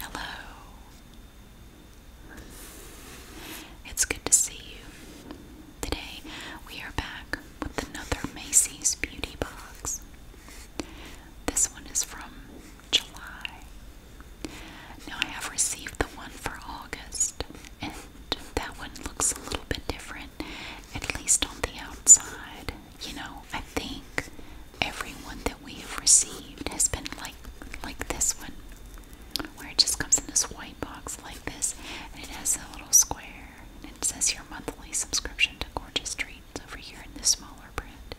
Hello. It's good to see you. Today we are back with another Macy's Beauty Box. This one is from July. Now I have received the one for August, that one looks a little bit different, at least on the outside. You know, I think everyone that we have received has been like like this one, where it just comes in this white box like this, and it has a little square, and it says your monthly subscription to Gorgeous Treats over here in this smaller print.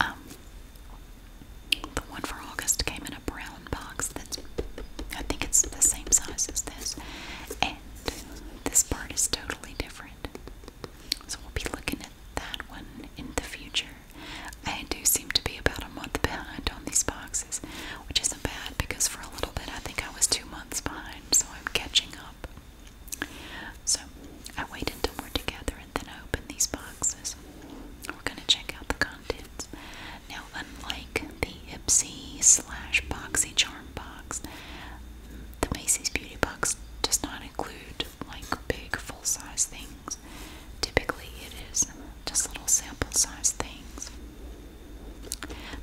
Um, the one for August came in a brown box that's, I think it's the same size as this. And this part is totally different. So we'll be looking at that one in the future. I do seem to be about a month behind on these boxes, which isn't bad because for a little bit I think I was two months behind, so I'm catching up. So I wait until we're together and then I open these boxes. We're gonna check out the contents. Now, unlike the Ipsy slash Boxy Charm box, the Macy's Beauty Box does not include like big full size things. Typically, it is just little sample size things.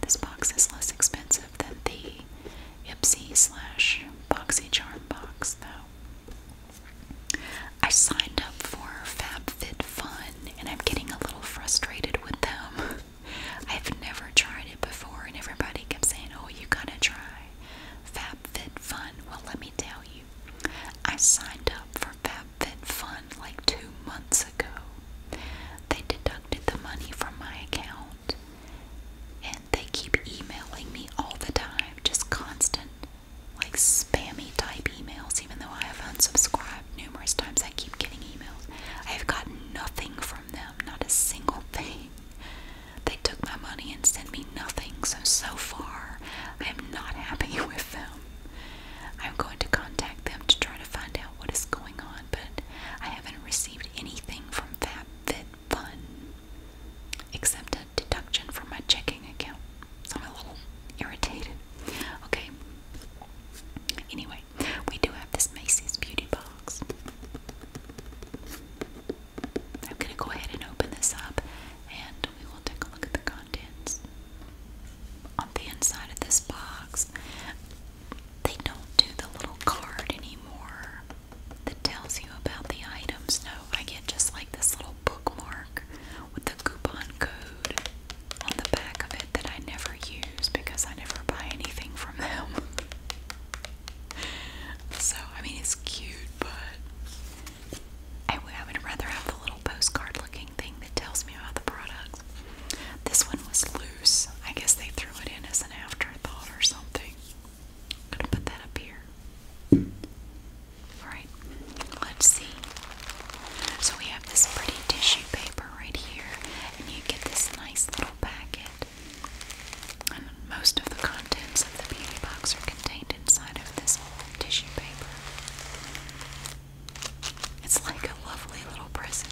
This box is less expensive than the Ipsy slash Boxy Charm box, though. I signed up for FabFitFun and I'm getting a little frustrated with them. I've never tried it before and everybody kept saying, oh, you gotta try FabFitFun. Well, let me tell you, I signed up for FabFitFun like two months ago. They deducted the money from my account and they keep emailing me all the time, just constant, like spammy type emails, even though I have unsubscribed numerous times. I keep getting emails. I have gotten nothing from them, not a single thing. They took my money and sent me nothing, so so far I am not happy with them. I'm going to contact them to try to find out what is going on, but I haven't received anything from Fun except a deduction from my checking account. I'm a little irritated. Okay. Anyway, we do have this Macy's Beauty Box. I'm going to go ahead and open this up and we will take a look at the contents. On the inside of this box, they don't do the little card anymore that tells you about the items. No, I get just like this little bookmark with the coupon code on the back of it that I never use because I never buy anything from them. so, I mean, it's cute, but I, would rather have the little postcard looking thing that tells me about the products. This one was loose. I guess they threw it in as an afterthought or something. gonna put that up here. Alright let's see. So we have this pretty tissue paper right here, and you get this nice little packet. And most of the contents of the beauty box are contained inside of this tissue paper. It's like a lovely little present.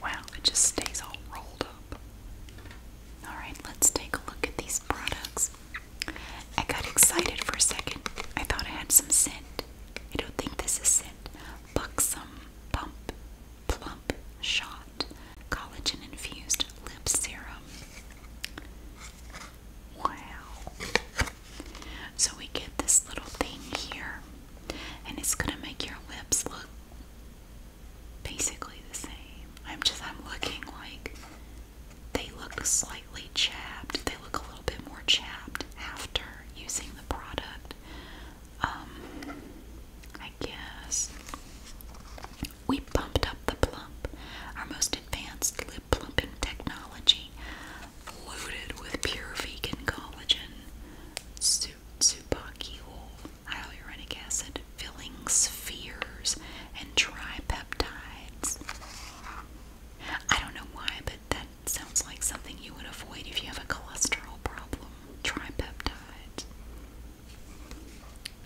Wow, it just stays all rolled up. Alright, let's take a look at these products. I got excited for a second. I thought I had some scent. I don't think this is scent. Buxom Pump Plump Shot Collagen Infused Lip Serum. Wow. So we get this little thing here, and it's gonna make your lips look basically the same. I'm just I'm looking like they look slightly chapped. They look a little bit more chapped after using the product. Um I guess. We pumped up the plump, our most advanced lip plumping technology, loaded with pure vegan collagen, su supaki oil, hyaluronic acid, filling spheres, and tripeptides. I don't know why, but that sounds like something you would avoid if you have a cholesterol problem. Tripeptides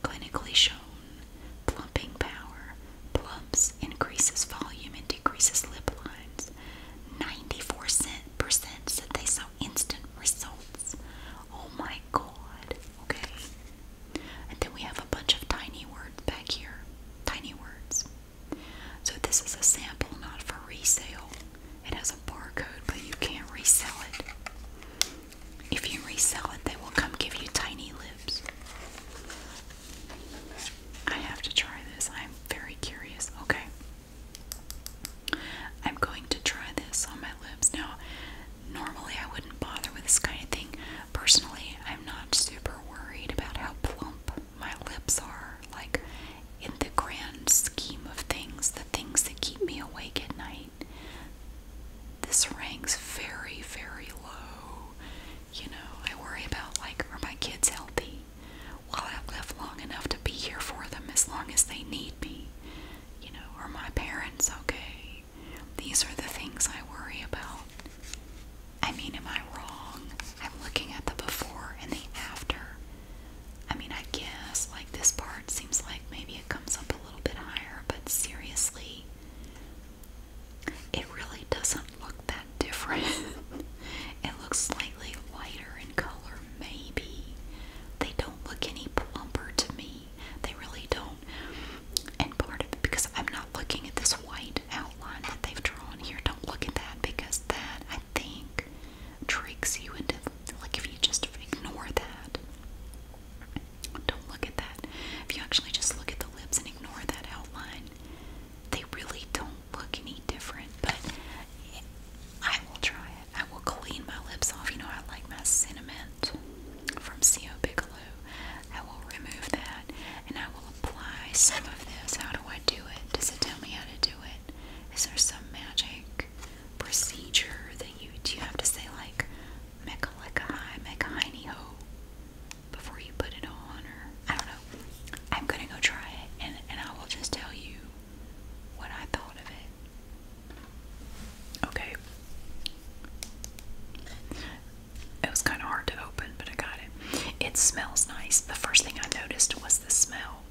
clinically shown plumping power, plumps, increases volume, and decreases lip lines. 94% said they saw instant results. Oh my god. Okay. And then we have a bunch of tiny words back here. Tiny words. So this is a sample, not for resale. It has a barcode, but you can't resell it. If you resell it, they will come give you tiny lips. I have to try this. I'm very curious. Okay. I'm going to try this on my lips. Now, normally I wouldn't bother with this kind of thing. Personally, I'm not super worried about how plump my lips are. Like, in the grand scheme of things, the things that keep me awake at night, this ranks very, very low. You know, I worry about like, are my kids healthy? Will I live long enough to be here for them as long as they need me? You know, are my parents okay? These are the things I worry about. I mean, am I wrong? I'm looking at the before and the after. I mean, I guess like this part seems like maybe it comes up a little bit higher, but seriously, it really doesn't look that different. it looks slightly lighter in color, maybe. They don't look any plumper to me. They really don't. And part of it, because I'm not looking at this white outline that they've drawn here, don't look at that because that, I think, tricks you into, like, if you just ignore that. Don't look at that. If you actually just look at the lips and ignore that outline, they really don't look any different. But I will try I will clean my lips off. You know, I like my cinnamon from C.O. Bigelow. I will remove that and I will apply some of this. How do I do it? Does it tell me how to do it? Is there some magic procedure that you do you have to say like make a lick before you put it on, or I don't know. I'm gonna go try it, and and I will just tell you what I thought of it. Okay. It was kind of hard to open, but I got it. It smells nice. The first thing I noticed was the smell.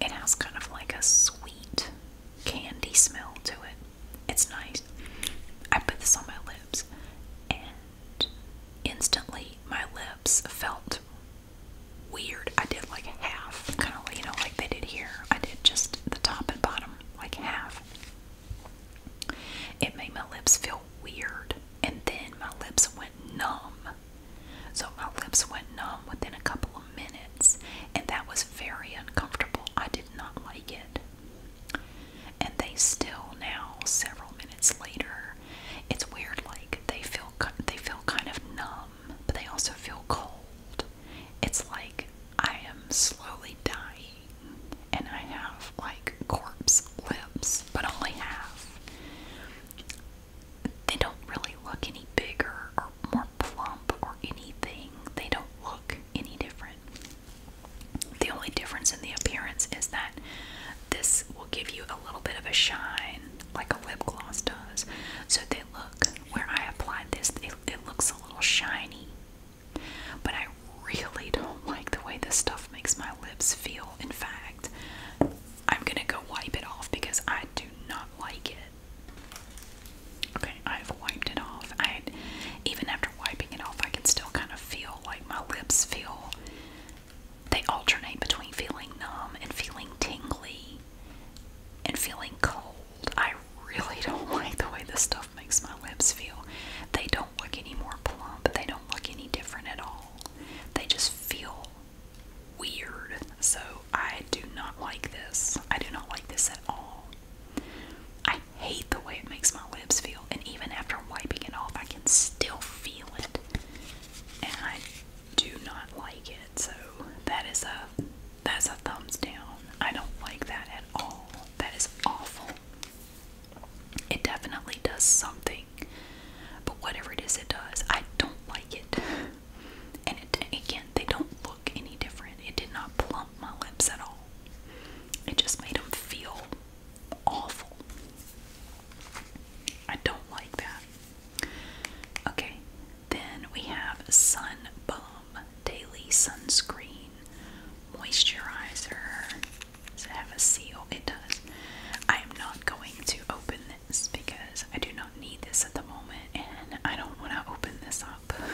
It has kind of like a sweet candy smell to it. It's nice. I put this on my lips, and instantly my lips felt weird. I did like half, kind of, you know, like they did here. I did just the top and bottom, like half. It made my lips feel weird, and then my lips went numb. So my lips went numb within a couple of minutes, and that was very uncomfortable. I did not like it. And they still now, several minutes later, it's weird. Like they feel, they feel kind of numb, but they also feel cold. It's like I am slowly dying, and I have like corpse lips, but only half. They don't really look any bigger or more plump or anything. They don't look any different. The only difference in the appearance is that this will give you a little bit of a shine, like a lip gloss does. So they look, where I applied this, it, it looks a little shiny. But I really don't like the way this stuff makes my lips feel. In fact, I'm gonna go wipe it off because I do not like it. Okay, I've wiped it off. I even after wiping it off, I can still kind of feel like my lips feel they alternate between feeling numb and feeling tingly and feeling cold. I really don't like the way this stuff makes my lips feel. They don't look any more plump, they don't look any different at all. They just feel weird. So I do not like this. I do not like this at all. I hate the way it makes my lips feel. And even after wiping it off, I can still feel it. And I do not like it. So that is a that's a thumbs down. I don't like that at all. That is awful. It definitely does something. But whatever it is it does, I don't like it. And it, again, they don't look any different. It did not plump my lips at all. It just made them feel awful. I don't like that. Okay, then we have Sunbalm Daily Sunscreen Moisturizer. Does it have a seal? It does. I am not going to open this because I do not need this at the moment and I don't want to open this up.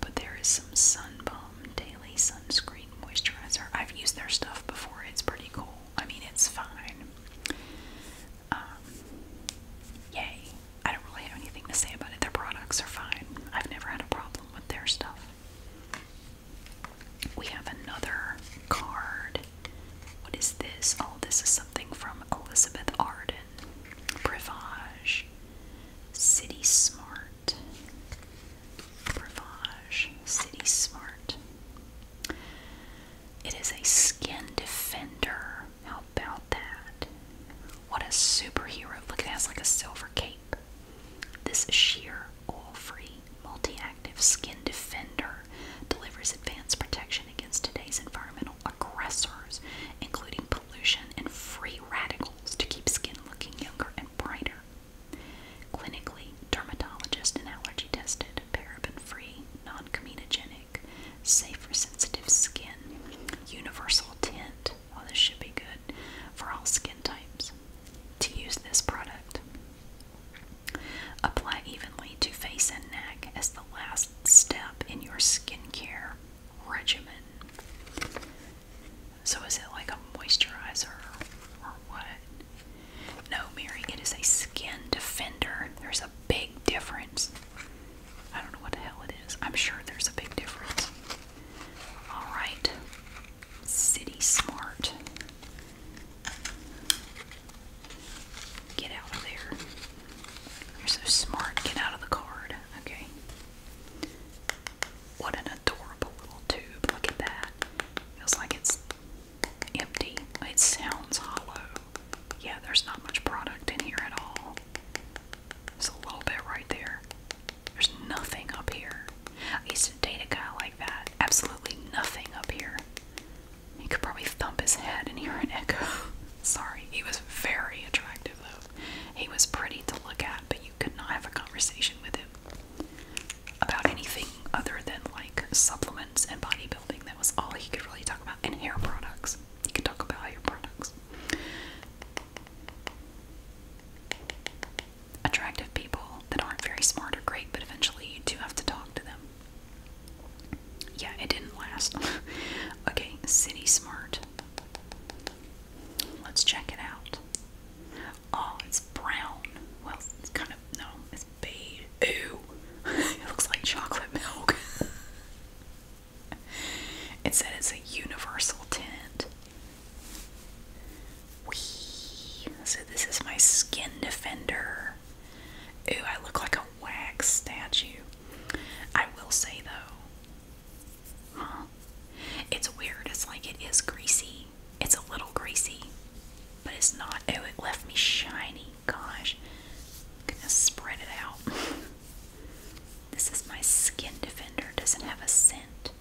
But there is some Sunbum Daily Sunscreen Moisturizer. I've used their stuff before. It's pretty cool. I mean, it's fine. Um, yay. I don't really have anything to say about it. Their products are fine. I've never had a problem with their stuff. We have another card. What is this? Oh, this is something from Elizabeth Arden. Privage. City Smart. Bravage City Smart. It is a skin defender. How about that? What a superhero. Look, it has like a silver cape. This sheer, oil free, multi active skin defender delivers advanced protection against today's environmental aggressors, including pollution and free radicals, to keep skin looking younger and brighter. Clinically, dermatologist and allergy tested paraben-free, non-comedogenic, safe for sensitive skin, universal tint. Well, this should be good for all skin types. To use this product, apply evenly to face and neck as the last step in your skincare regimen. So is it like a moisturizer or what? No, Mary, it is a skin defender. There's a big difference. I don't know what the hell it is. I'm sure there's a big difference. Alright. City Smart. Get out of there. You're so smart. Get out of the card. Okay. What an adorable little tube. Look at that. Feels like it's empty. It sounds hollow. Yeah, there's not much product in here at all. There's a little bit right there. There's nothing up here. I used to date a guy like that. Absolutely nothing up here. He could probably thump his head and hear an echo. Sorry, he was very attractive though. He was pretty to look at, but you could not have a conversation with him about anything other than like supplements and bodybuilding. That was all he could really talk about, and hair products. He could talk about hair products. Attractive people that aren't very smart are great, but eventually you do have to talk to them. Yeah, it didn't last. okay, City Smart. Let's check it out. Oh, it's brown. Well, it's kind of, no, it's beige. Ew. it looks like chocolate milk. it said it's a universal tint. Wee. So this is my skin defender. Ew, I look like a wax statue. I will say though, Huh? It's weird. It's like it is greasy. It's a little greasy, but it's not. Oh, it left me shiny. Gosh. I'm gonna spread it out. this is my Skin Defender. Doesn't have a scent.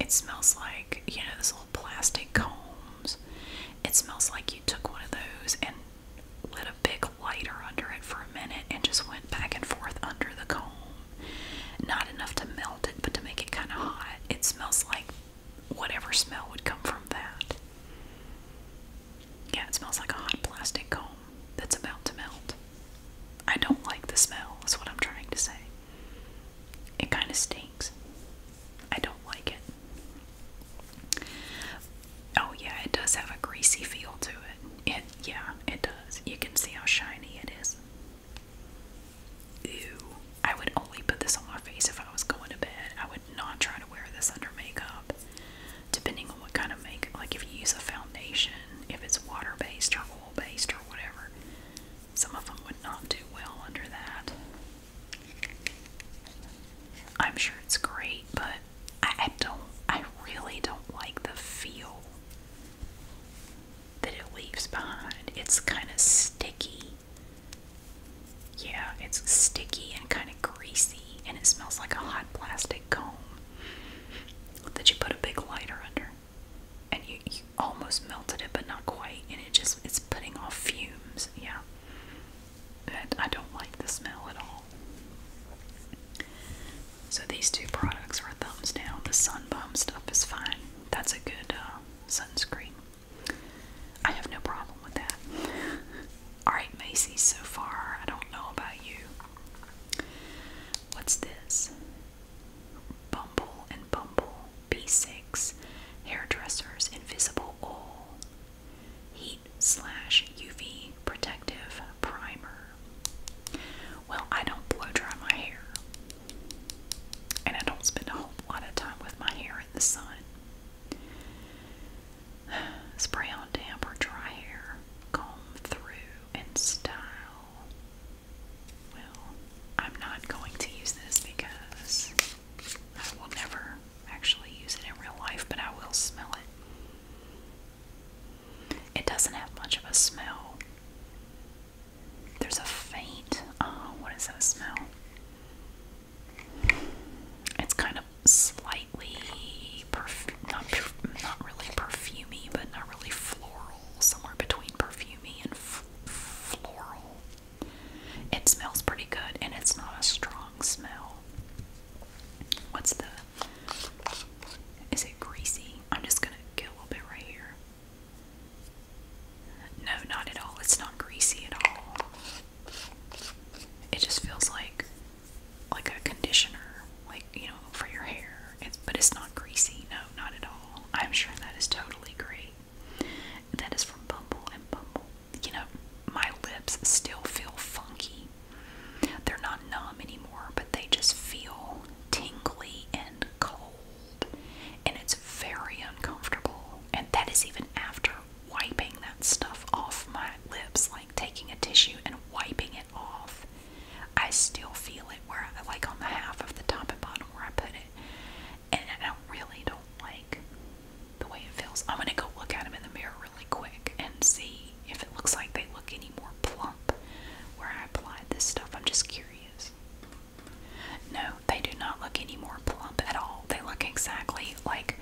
It smells like, you know, those little plastic combs. It smells like you took one of those and lit a big lighter under it for a minute and just went back and forth under the comb. Not enough to melt it, but to make it kind of hot. It smells like whatever smell would come from that. Yeah, it smells like a hot plastic comb that's about to melt. I don't like the smell, That's what I'm trying to say. It kind of stinks. I don't like it. Oh, yeah, it does have a greasy feel to it. It, yeah, it does. You can see how shiny it is. Ew. I would only put this on my face if I was going to bed. I would not try to wear this under makeup. Depending on what kind of makeup, like if you use a foundation, if it's water based or oil based or whatever, some of them would not do well under that. I'm sure it's great, but I don't, I really don't like the feel that it leaves behind. It's kind of sticky. Yeah, it's sticky and kind of greasy, and it smells like a hot plastic comb that you put a big lighter under. And you, almost melted it, but not quite, and it just it's putting off fumes. Yeah, but I don't like the smell at all. So these two products are thumbs down. The Sunbum stuff is fine. That's a good uh, sunscreen. I have no problem with that. Alright, Macy. so far. I don't know about you. What's this? Bumble and Bumble B6 Hairdressers Invisible Oil Heat slash UV Protective Primer. Well, I don't blow dry my hair. And I don't spend a whole lot of time with my hair in the sun. Spray on damp or dry hair, comb through, and style. Well, I'm not going to use this because I will never actually use it in real life, but I will smell it. It doesn't have much of a smell. There's a faint, oh, what is that smell? It's kind of slightly perf not, not really perfumey, but not really floral, somewhere between perfumy and floral. It smells pretty good, and it's not a strong smell. What's the? Is it greasy? I'm just gonna get a little bit right here. No, not at all. It's not greasy at all. It just feels like like a conditioner, like you know, for your hair. It's, but it's not greasy. No, not at all. I'm sure that is totally great. That is from Bumble and Bumble. You know, my lips still feel funky. They're not numb anymore, but they just feel tingly and cold, and it's very uncomfortable. And that is even after wiping that stuff off my lips, like taking a tissue and wiping it off. I still feel it where I like on the half of the top and bottom where I put it. And I don't really don't like the way it feels. I'm gonna go look at them in the mirror really quick and see if it looks like they look any more plump where I applied this stuff. I'm just curious. No, they do not look any more plump at all. They look exactly like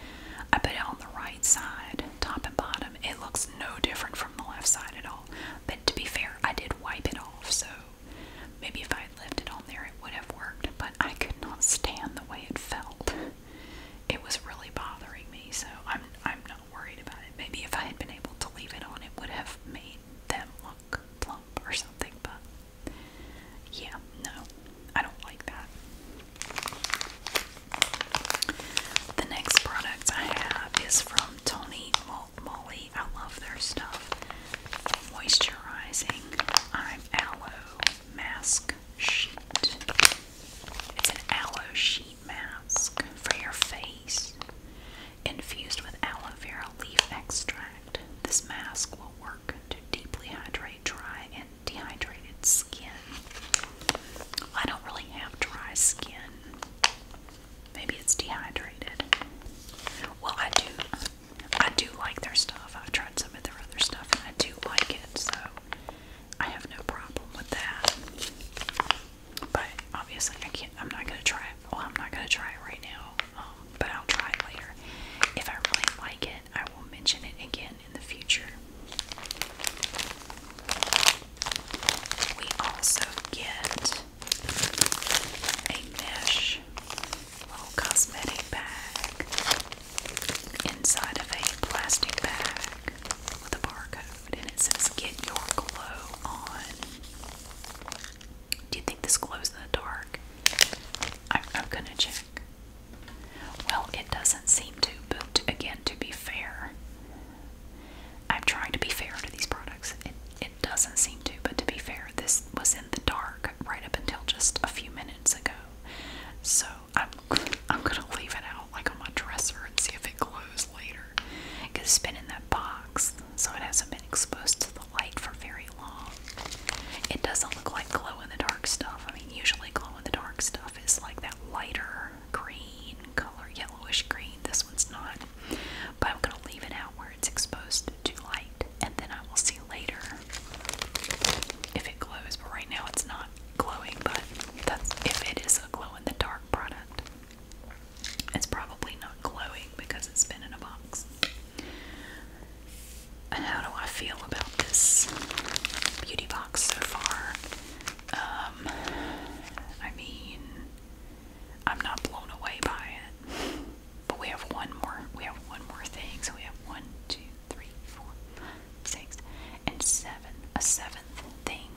I put it on the right side, top and bottom. It looks no different from the left side at all. But to be fair, I did wipe it off, so maybe if I had left it on there, it would have worked. But I could not stand the way it felt. It was really bothering me, so I'm I'm not worried about it. Maybe if I had been able to leave it on, it would have made them look plump or something, but yeah, no, I don't like that. The next product I have is from Tony Moly. I love their stuff. Moisturizing Aloe Mask Sheet. It's an aloe sheet mask for your face. Infused with aloe vera leaf extract, this mask will work to deeply hydrate dry and dehydrated skin. I don't really have dry skin. Maybe it's dehydrated. Well, I do. I do like their stuff. I've tried some of their other stuff and I do like it, so I have no problem with that. But obviously, I can't. I'm not gonna try it. Well, I'm not gonna try it right now. Um, but I'll try it later. If I really like it, I will mention it again in the future. We also get a mesh little cosmetic bag inside of a plastic bag with a barcode and it says get your glow on. Do you think this glows in the dark? I'm, gonna check. Well, it doesn't seem to, but again, to be fair, I'm trying to be fair to these products. It, doesn't seem to, but to be fair, this was in the dark right up until just a few minutes ago. So I'm, gonna leave it out like on my dresser and see if it glows later. Because it's been in that box so it hasn't been exposed to the light for very long. It doesn't look like glow in the dark stuff. I mean, usually glow in the dark stuff is like that lighter green color, yellowish green. This one's not. But I'm going to leave it out where it's exposed to light and then I will see later if it glows. But right now it's not glowing, but that's if it is a glow in the dark product. It's probably not glowing because it's been in a box. how do I feel about this beauty box so far? Um, I mean, I'm not blown away by it. But we have one more. We have one more thing. So we have one, two, three, four, five, six, and seven. A seventh thing.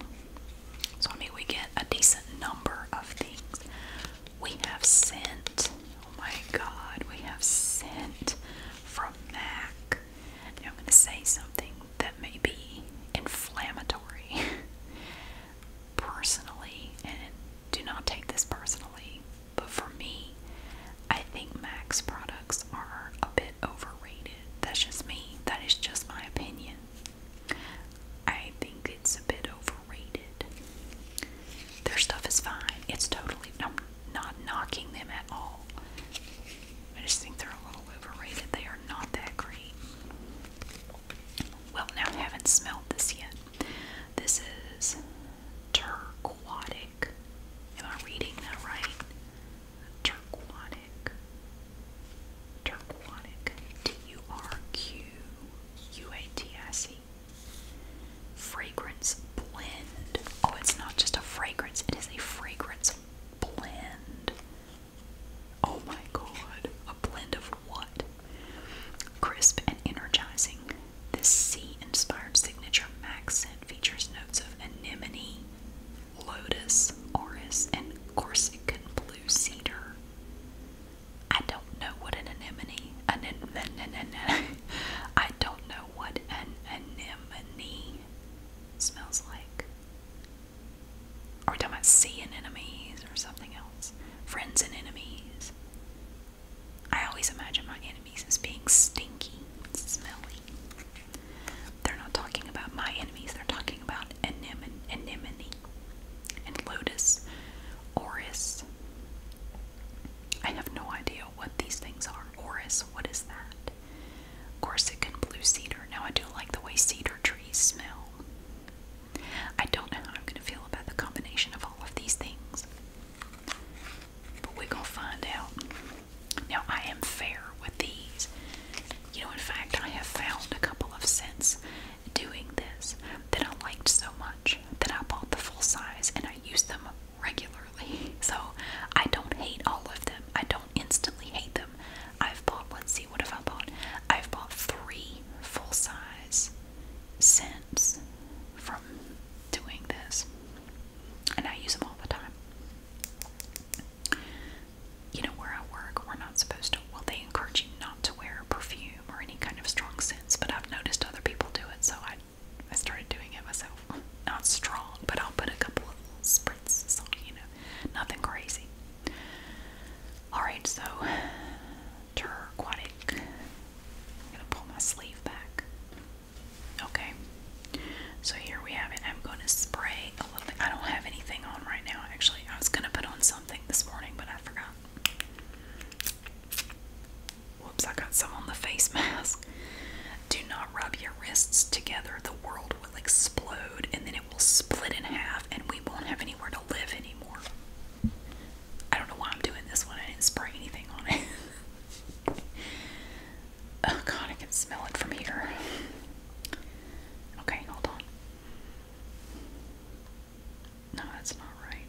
So, I mean, we get a decent number of things. We have sent. Oh my god, we have sent from MAC. I'm going to say something that may be inflammatory personally, and do not take this personally, but for me, I think MAC's products are a bit overrated. That's just me, that is just my opinion. I think it's a bit overrated. Their stuff is fine. It's totally, not knocking them at all. I just think they're a little overrated. They are not that great. Well, now I haven't smelled this yet. This is turquoise. Am I reading that right? Turquoise. Turquatic, T U R Q U A T I C. Fragrance blend. Oh, it's not just a fragrance, it is a fragrance blend. Oh my god, a blend of what? Crisp and energizing. This sea inspired signature accent features notes of anemone, lotus, orris, and Corsican blue cedar. I don't know what an anemone, an, an, an, an, an I don't know what an anemone smells like. Are we talking about sea enemies or something else? Friends and enemies. I always imagine my enemies as being stinky, smelly. They're not talking about my enemies, they're talking about anemone, anemone and lotus, oris. I have no idea what these things are. Oris, what is that? Corsican blue cedar. Now I do like the way cedar trees smell. I don't know how I'm going to feel about the combination of all of these things. But we're going to find out. Now I am fair with these. You know, in fact, I have found a couple of scents doing this that I liked so much that I bought the full size and I use them regularly. So I don't hate all of them. I don't instantly hate them. I've bought, let's see, what have I bought? I've bought three full size scents from doing this. And I use them all the time you know, where I work, we're not supposed to, well, they encourage you not to wear perfume or any kind of strong scents, but I've noticed other people do it, so I, I started doing it myself. Not strong, but I'll put a couple of spritzes on, you know, nothing crazy. Alright, so, terquatic. I'm gonna pull my sleeve back. Okay, so here we have it. I'm gonna spray a little bit. I don't have anything on right now, actually. I was gonna put on some this morning, but I forgot. Whoops, I got some on the face mask. Do not rub your wrists together. The world will explode and then it will split in half and we won't have anywhere to live anymore. I don't know why I'm doing this one. I didn't spray anything on it. oh god, I can smell it from here. Okay, hold on. No, that's not right.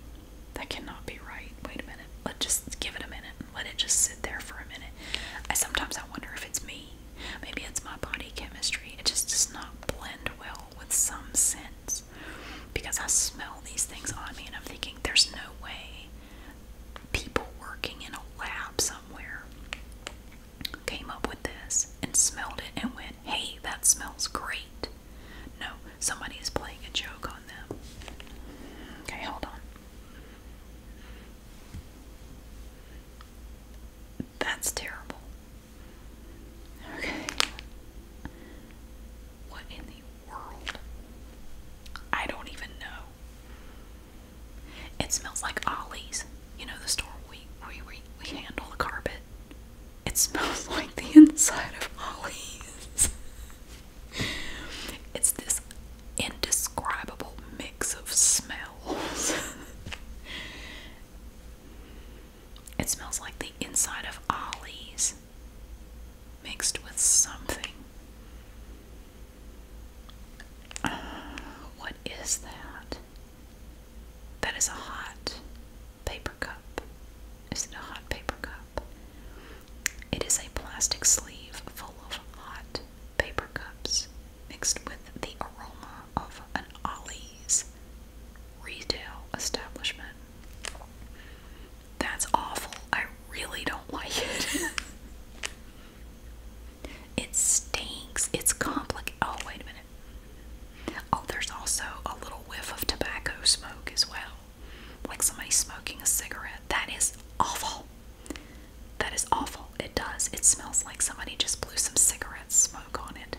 That cannot be right. Wait a minute. Let's just give it a minute. Let it just sit there for a minute. I sometimes I wonder if it's me. Maybe it's my body chemistry. It just does not blend well with some scents. Because I smell these things on me and I'm thinking there's no way people working in a lab somewhere came up with this and smelled it and went, Hey, that smells great. No, somebody is playing a joke on them. Okay, hold on. That's terrible. Okay. What in the world? I don't even know. It smells like Ollie's. You know the store we we we, we handle carpet. It smells like the inside of Ollie's. it's this indescribable mix of smells. it smells like the inside of Ollie's mixed with something. what is that? That is a hot paper cup. Is it a hot paper cup? It is a plastic sleeve full of hot paper cups mixed with the aroma of an Ollie's retail establishment. That's awful. I really don't like it. it stinks. It's complicated. Oh, wait a minute. Oh, there's also a little whiff of tobacco smoke as well. Like somebody smoking a cigarette. That is awful. That is awful. It does. It smells like somebody just blew some cigarette smoke on it.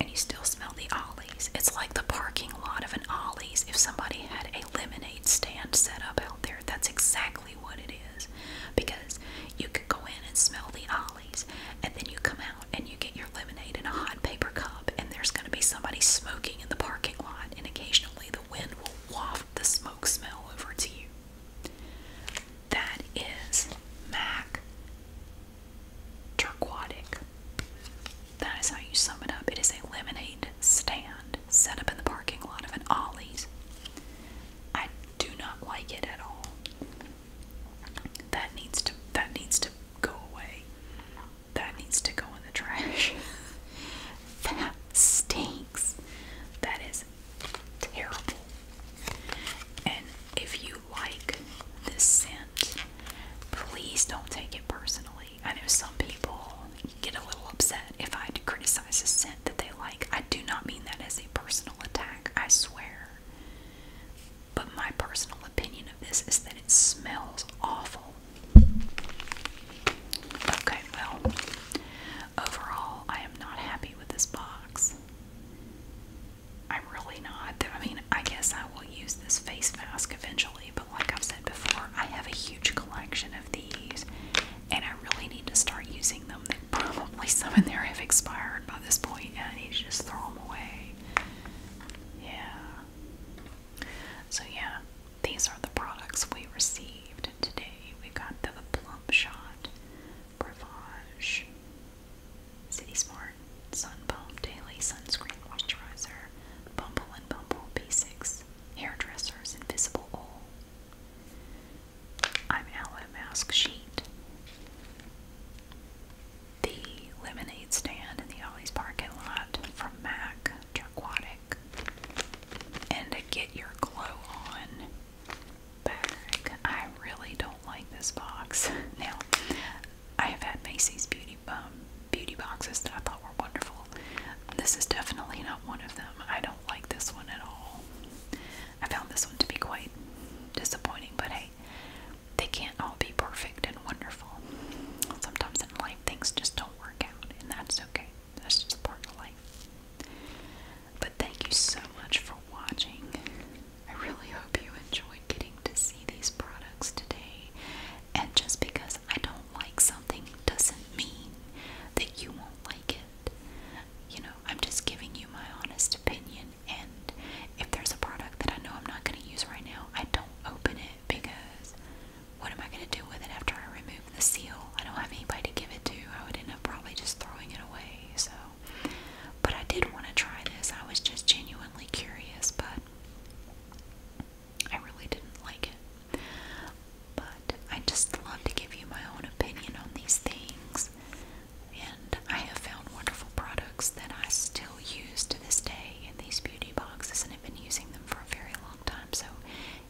And you still smell the Ollie's. It's like the parking lot of an Ollie's if somebody had a lemonade stand set up out there. That's exactly what it is. Because you could go in and smell the and then you come out and you get your lemonade in a hot paper cup, and there's going to be somebody smoking in the parking lot, and occasionally the wind will waft the smoke smell over to you. That is Mac Turquotic. That is how you sum it up. It is a lemonade stand set up in the parking lot of an Ollie's. I do not like it at all. That needs to that needs to go away. That needs to go in the trash. that stinks. That is terrible. And if you like this scent, please don't take it personally. I know some people get a little upset if I criticize a scent that they like. I do not mean that as a personal attack, I swear but my personal opinion of this is that it smells awful. Okay, well, overall, I am not happy with this box. I'm really not. I mean, I guess I will use this face mask eventually, but like i said before, I have a huge collection of these, and I really need to start using them. Probably some in there have expired by this point, and I need just throw them away. Yeah. So yeah, these are the products we received today. We got the Plump Shot, City Smart, Sun Daily Sunscreen Moisturizer, Bumble and Bumble Basics Hairdressers Invisible Oil. I'm Aloe Mask Sheet the lemonade stand in the Ollie's parking lot from MAC Aquatic, and Get Your Glow On I really don't like this box. Now, I have had Macy's beauty um, beauty boxes that I thought were wonderful. This is definitely not one of them. I don't like this one at all. I found this one to be quite disappointing, but hey, they can't all be perfect and wonderful. Sometimes in life, things just don't work out, and that's okay. That's just part of life. But thank you so much for watching. I really hope you enjoyed getting to see these products today. And just because I don't like something doesn't mean that you won't like it. You know, I'm just giving you my honest opinion and if there's a product that I know I'm not going to use right now, I don't open it because what am I going to do with it after I remove the seal? I don't have anybody to give it to. I would end up probably just throwing it away. So, but I did want to try this. I was just genuinely curious, but I really didn't like it. But I just love to give you my own opinion on these things. And I have found wonderful products that I still use to this day in these beauty boxes and have been using them for a very long time. So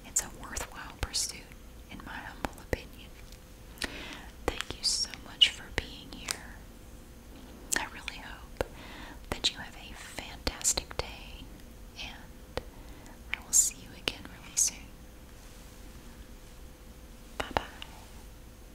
it's a worthwhile pursuit, in my humble opinion. Thank you so much for being here. I really hope that you have a fantastic day, and I will see you again really soon. Bye bye.